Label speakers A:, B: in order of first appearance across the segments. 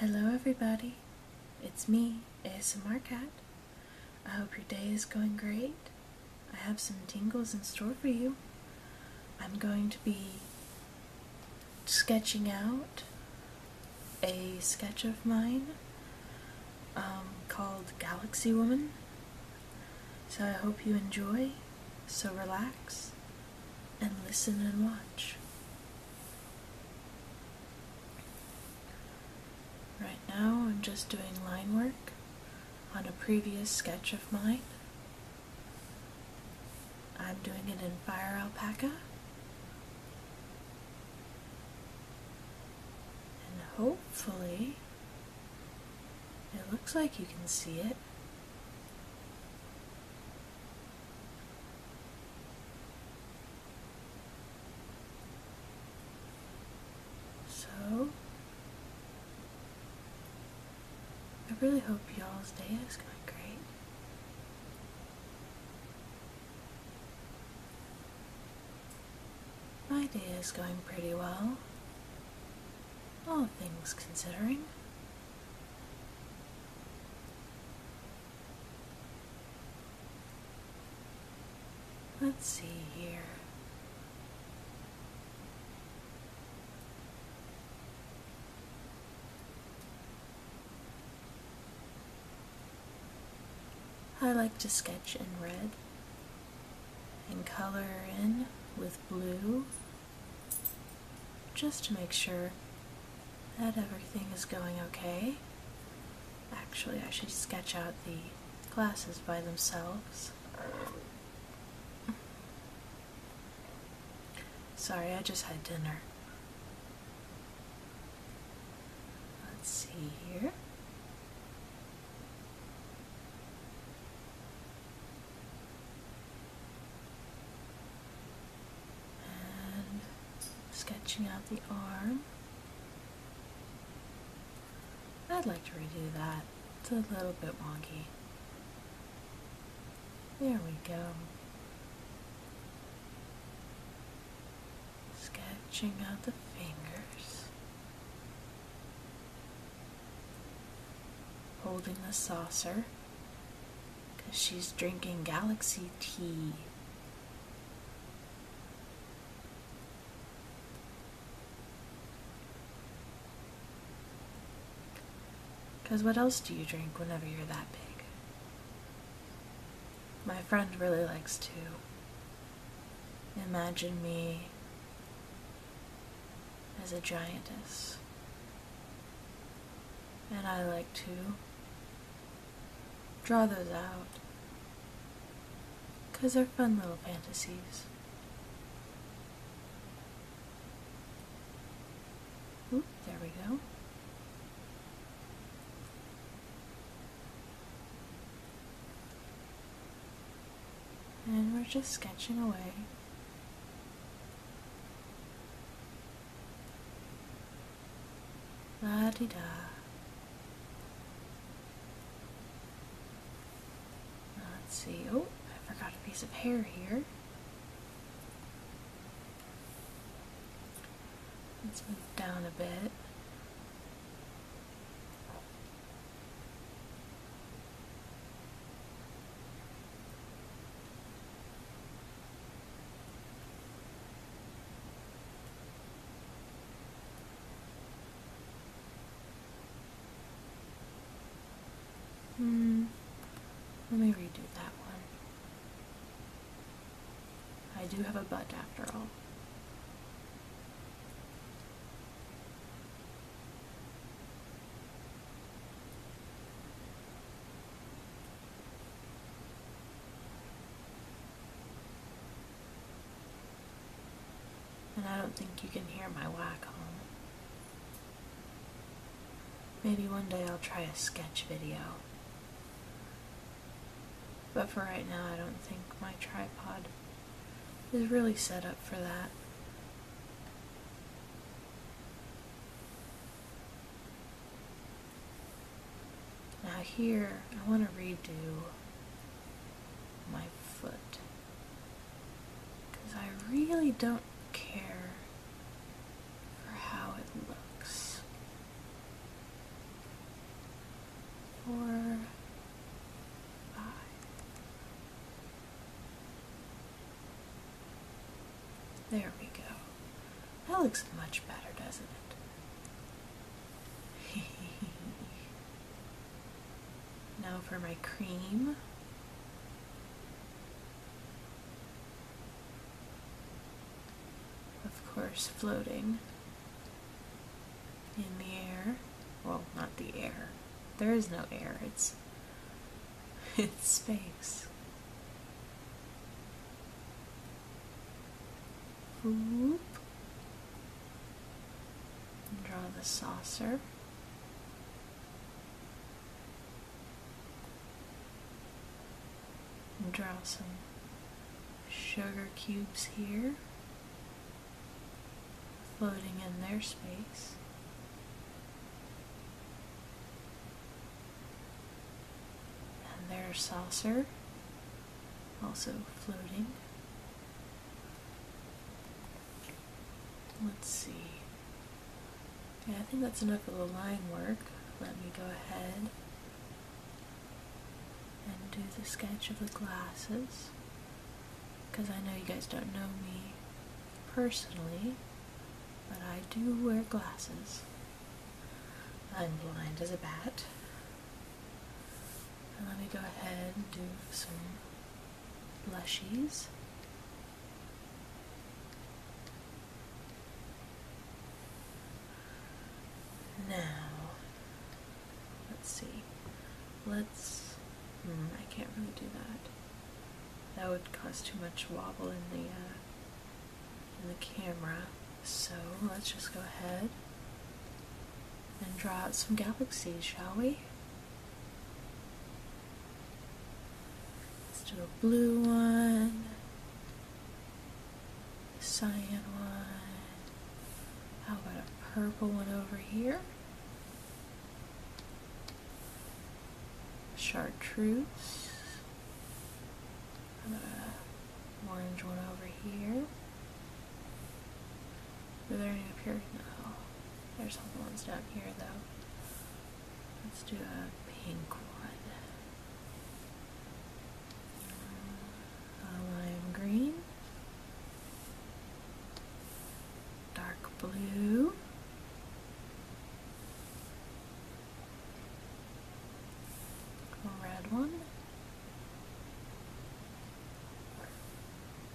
A: Hello, everybody. It's me, ASMR Cat. I hope your day is going great. I have some tingles in store for you. I'm going to be sketching out a sketch of mine um, called Galaxy Woman. So I hope you enjoy, so relax, and listen and watch. Right now I'm just doing line work on a previous sketch of mine. I'm doing it in fire alpaca. And hopefully it looks like you can see it. So, I really hope y'all's day is going great. My day is going pretty well, all things considering. Let's see here. I like to sketch in red and color in with blue just to make sure that everything is going okay. Actually, I should sketch out the glasses by themselves. Sorry, I just had dinner. Let's see here sketching out the arm. I'd like to redo that. It's a little bit wonky. There we go. Sketching out the fingers holding the saucer because she's drinking galaxy tea. Because what else do you drink whenever you're that big? My friend really likes to imagine me as a giantess. And I like to draw those out because they're fun little fantasies. there we go and we're just sketching away. La di da. Let's see. Oh, I forgot a piece of hair here. Let's move down a bit. Hmm, let me redo that one. I do have a butt after all. And I don't think you can hear my whack home. Maybe one day I'll try a sketch video. But for right now, I don't think my tripod is really set up for that. Now here, I want to redo my foot. Because I really don't care for how it looks four, five. There we go. That looks much better, doesn't it? now for my cream. Of course, floating in the air. Well, not the air. There is no air. It's it's space. Whoop. And draw the saucer. And draw some sugar cubes here floating in their space. And their saucer also floating. Let's see. Yeah, I think that's enough of the line work. Let me go ahead and do the sketch of the glasses because I know you guys don't know me personally, but I do wear glasses. I'm blind as a bat. let me go ahead and do some blushies. Now, let's see. Let's. Hmm, I can't really do that. That would cause too much wobble in the uh, in the camera. So let's just go ahead and draw out some galaxies, shall we? Let's do a blue one cyan one. How about a purple one over here? Chartreuse. How about an orange one over here? Are there any up here? No. There's some ones down here though. Let's do a pink one. Uh, lime green, dark blue, red one.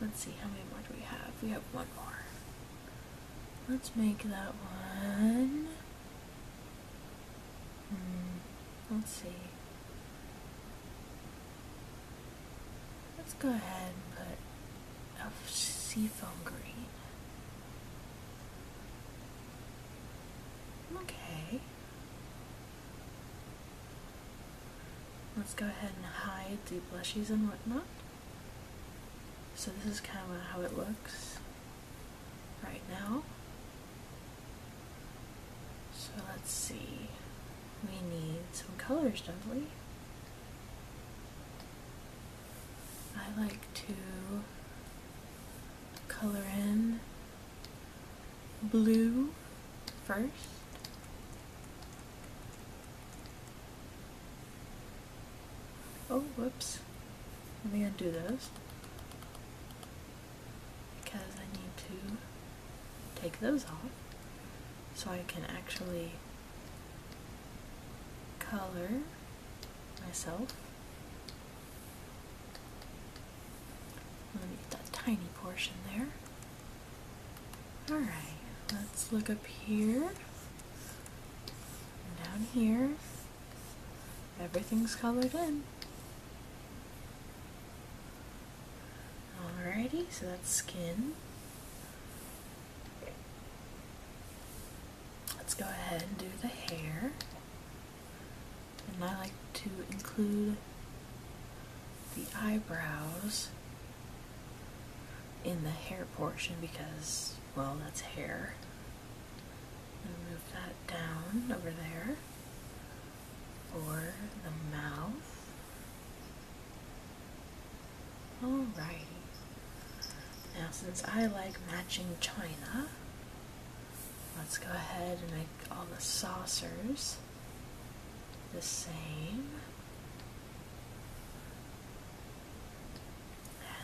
A: Let's see, how many more do we have? We have one more. Let's make that one Hmm, let's see. Let's go ahead and put a seafoam green. Okay. Let's go ahead and hide the blushes and whatnot. So this is kind of how it looks right now. So let's see. We need some colors, don't we? I like to color in blue first. Oh, whoops. Let me undo those because I need to take those off so I can actually color myself. Let me get that tiny portion there. Alright, let's look up here, down here, Everything's colored in. Alrighty, so that's skin. Let's go ahead and do the hair. And I like to include the eyebrows in the hair portion because, well, that's hair. move that down over there or the mouth. Alrighty. Now, since I like matching china, let's go ahead and make all the saucers the same.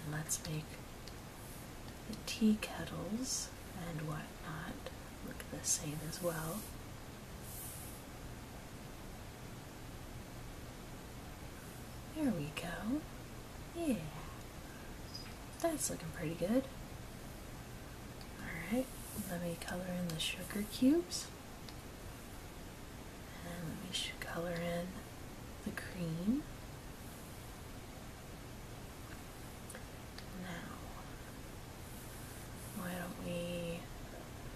A: And let's make the tea kettles and whatnot look the same as well. There we go. Yeah. That's looking pretty good. Alright, let me color in the sugar cubes. And let me color in the cream. Now, why don't we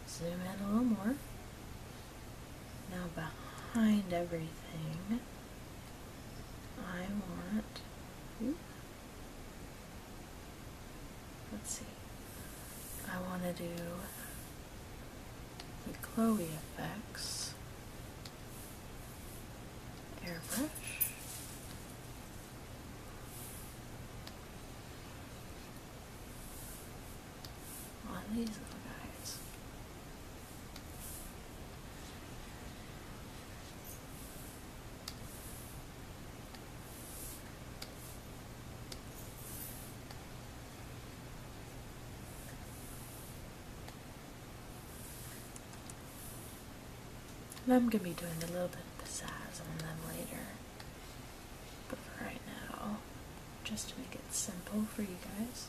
A: zoom in a little more? Now, behind everything, I want. let's see. I want to do the Chloe effects airbrush. On these little guys. And I'm going to be doing a little bit of the sizing on them later. But for right now, just to make it simple for you guys,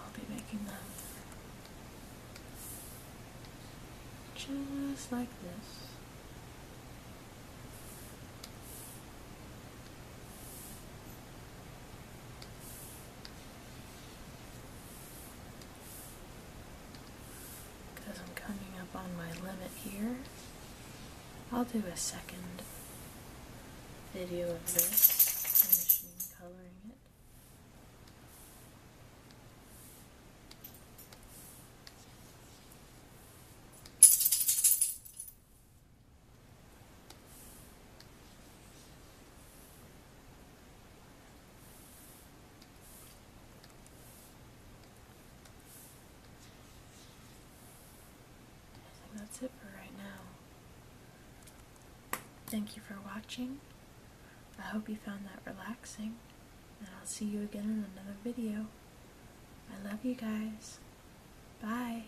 A: I'll be making them just like this because I'm coming up on my limit here. I'll do a second video of this, machine coloring it that's it for right now. Thank you for watching. I hope you found that relaxing, and I'll see you again in another video. I love you guys. Bye.